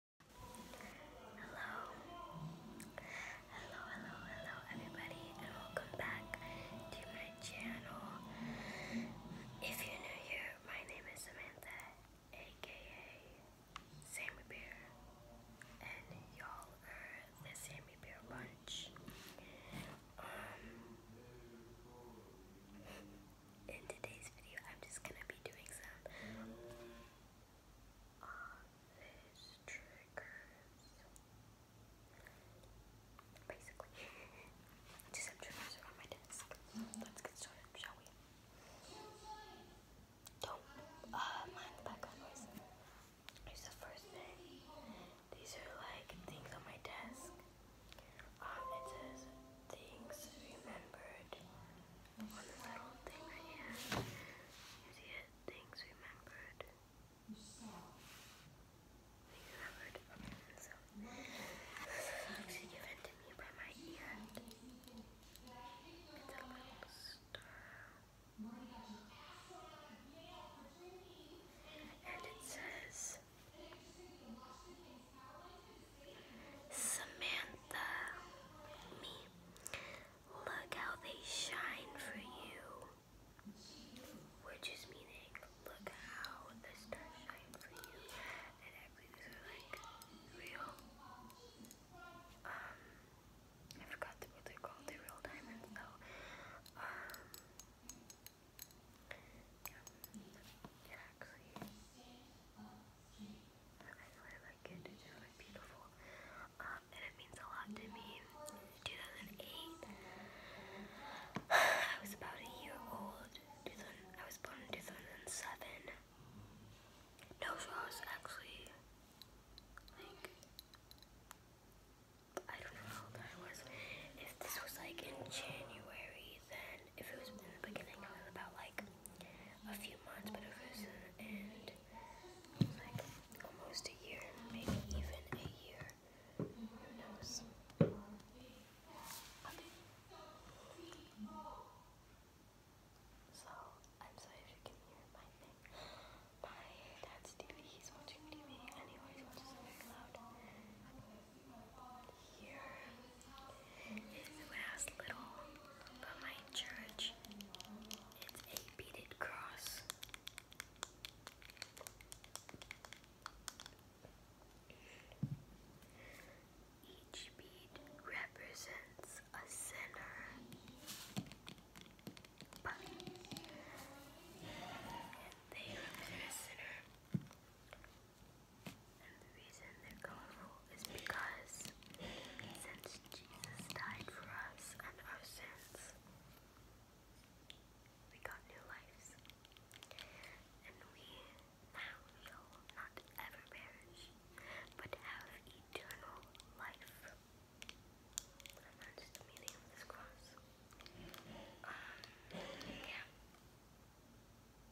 Hello. Hello, hello, hello, everybody, and welcome back to my channel. If you're new here, my name is Samantha, aka Sammy Bear, and y'all are the Sammy Bear Bunch. Um, in today's video, I'm just gonna be doing some office triggers. just some triggers around my desk. Let's get started, shall we? Don't mind the background noise. Here's the first thing. These are like things on my desk. Um, it says things remembered. One little thing I have is yet things remembered. Things remembered. actually given to me by my aunt. It's a little star. And it says, Samantha, me. Look how they shine for you. We're just meaning, look how the stars shine for you. And I believe like real. Um, I forgot what they're called. they real diamonds though. Um, I really like it. It's really beautiful. and it means a lot to me. 2008, I was about a year old. I was born in 2007. No, I was actually, I don't know how old I was. If this was, like, in January, than if it was in the beginning, it was about like a few months, but if it was in the end, it was like almost a year, maybe even a year. Who knows? So, I'm sorry if you can hear my thing. My dad's TV, he's watching TV and he always watches it very loud here is my church, it's a beaded cross. Each bead represents a sinner, but they represent a sinner, and the reason they're colorful is because since Jesus died for us and our sins, we got new lives. And we now shall not ever perish, but have eternal life. that's the meaning of this cross. Um,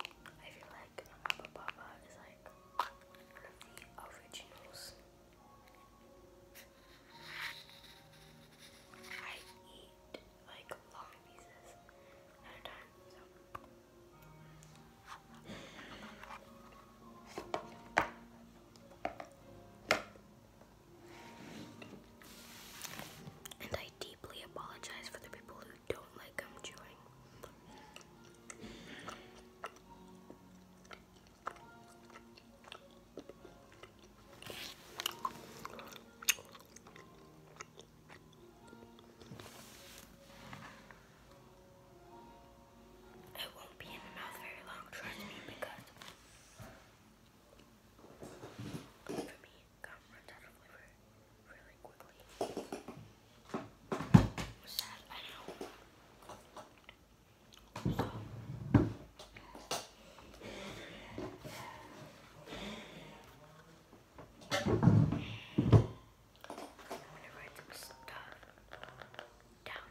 I feel like Mama Papa is like one of the originals. I eat like long pieces at a time, so. And I deeply apologize for the people who don't like I'm chewing. It won't be in the mouth very long, trust me, because gum runs out of liver really quickly. Sad, I know. So. I'm gonna write some stuff down.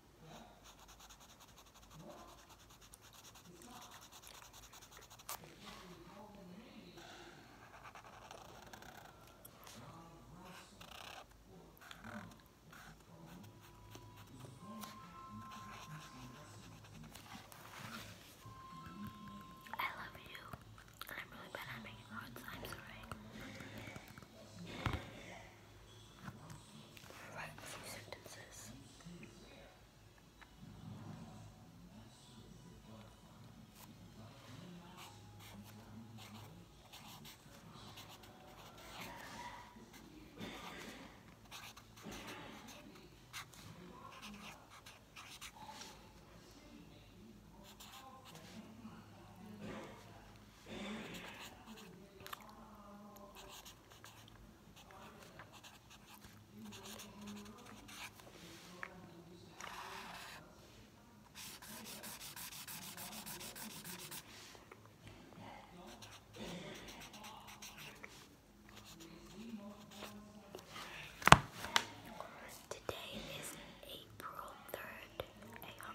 I love you. I'm really bad at making notes. I'm sorry write a few sentences. Today is April 3rd,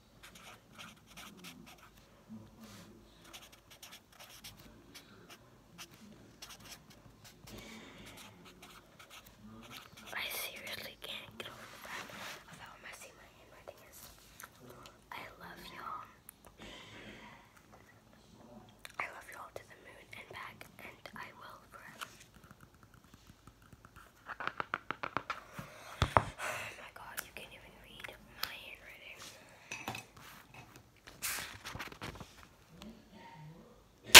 I seriously can't get over the fact of how messy my handwriting is. I love y'all. I love y'all to the moon and back, and I will Oh my god, you can't even read my handwriting. i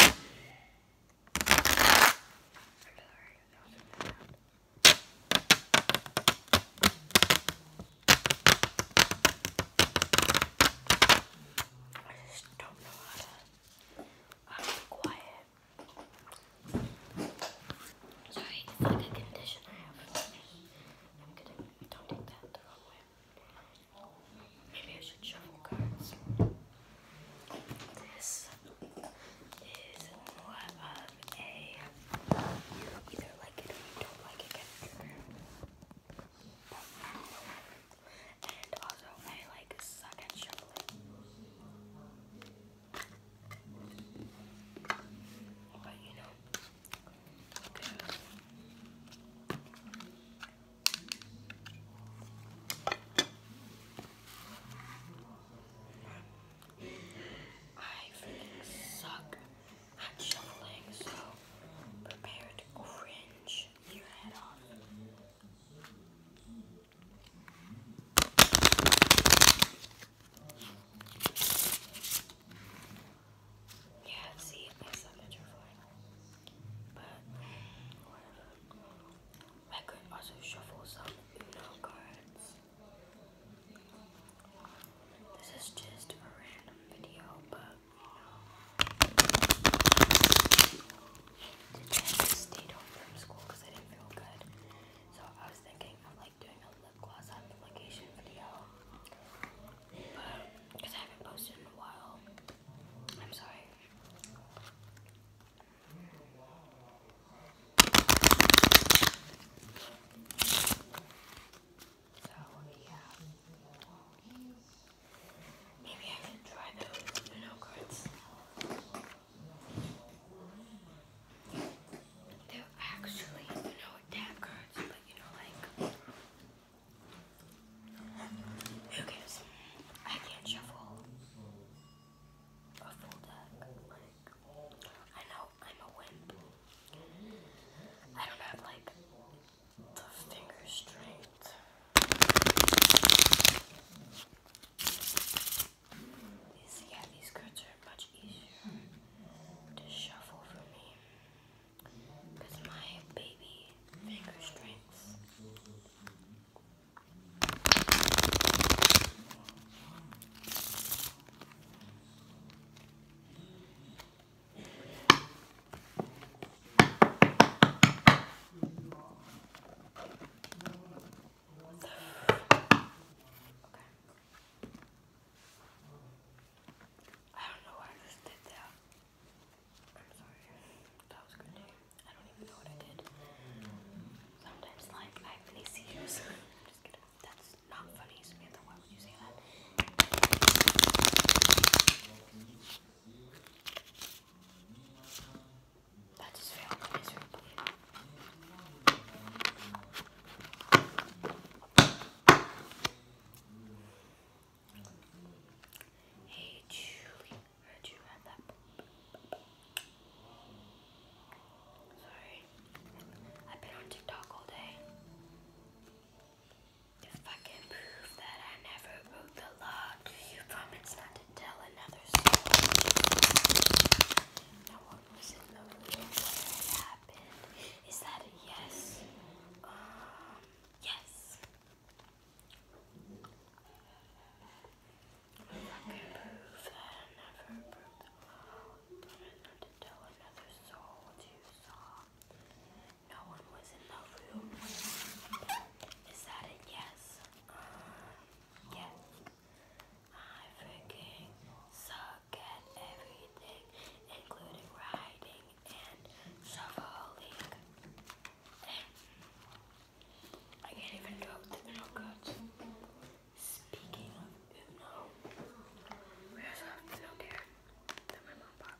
just don't know how to be quiet. Sorry, it's like a condition I have. I'm going don't do that the wrong way. Maybe I should shuffle cards. This is more of a you either like it or you don't like it And also I like suck shuffling. But you I suck at shuffling, so prepare to cringe your head off. Yeah, see, I suck at your But, whatever. I could also shuffle some Uno cards. This is just a random video, but, you I stayed home from school because I didn't feel good. So I was thinking of like doing a lip gloss application video. But I haven't posted in a while. I'm sorry. So yeah. Maybe I should try those no cards. They're actually, know, tab cards, but you know, like, who cares? I can't shuffle a full deck. I know I'm a wimp. I don't have, like, the finger strength. These, yeah, these skirts are much easier to shuffle for me because my baby finger strengths. I don't know why I just did that. I'm sorry. That was good. I don't even know what I did. Sometimes like I have these seizures. I'm just kidding. That's not funny, Samantha. Why would you say that? That is very miserable. Hey Julie, heard you had that. Sorry, I've been on TikTok all day. If I can prove that I never wrote the law, you promise not tell another story. Now, what was in the room where it happened? Is that a yes? yes. I approve that. I to tell another soul you saw no one was in the room. Is that a yes? Uh, yes. I freaking suck at everything, including riding and shoveling. I can't even do it with Uno cards. Speaking of Uno, we also have Uno that my mom bought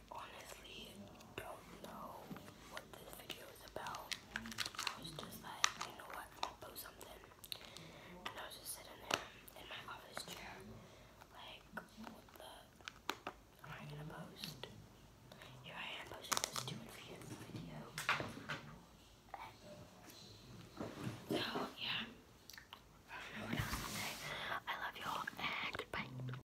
I honestly don't know what this video is about. I was just like, you know what, I'm post something. And I was just sitting there in my office chair, like, what the am I gonna post? Here I am posting this stupid video. So yeah. I don't know I love y'all and goodbye.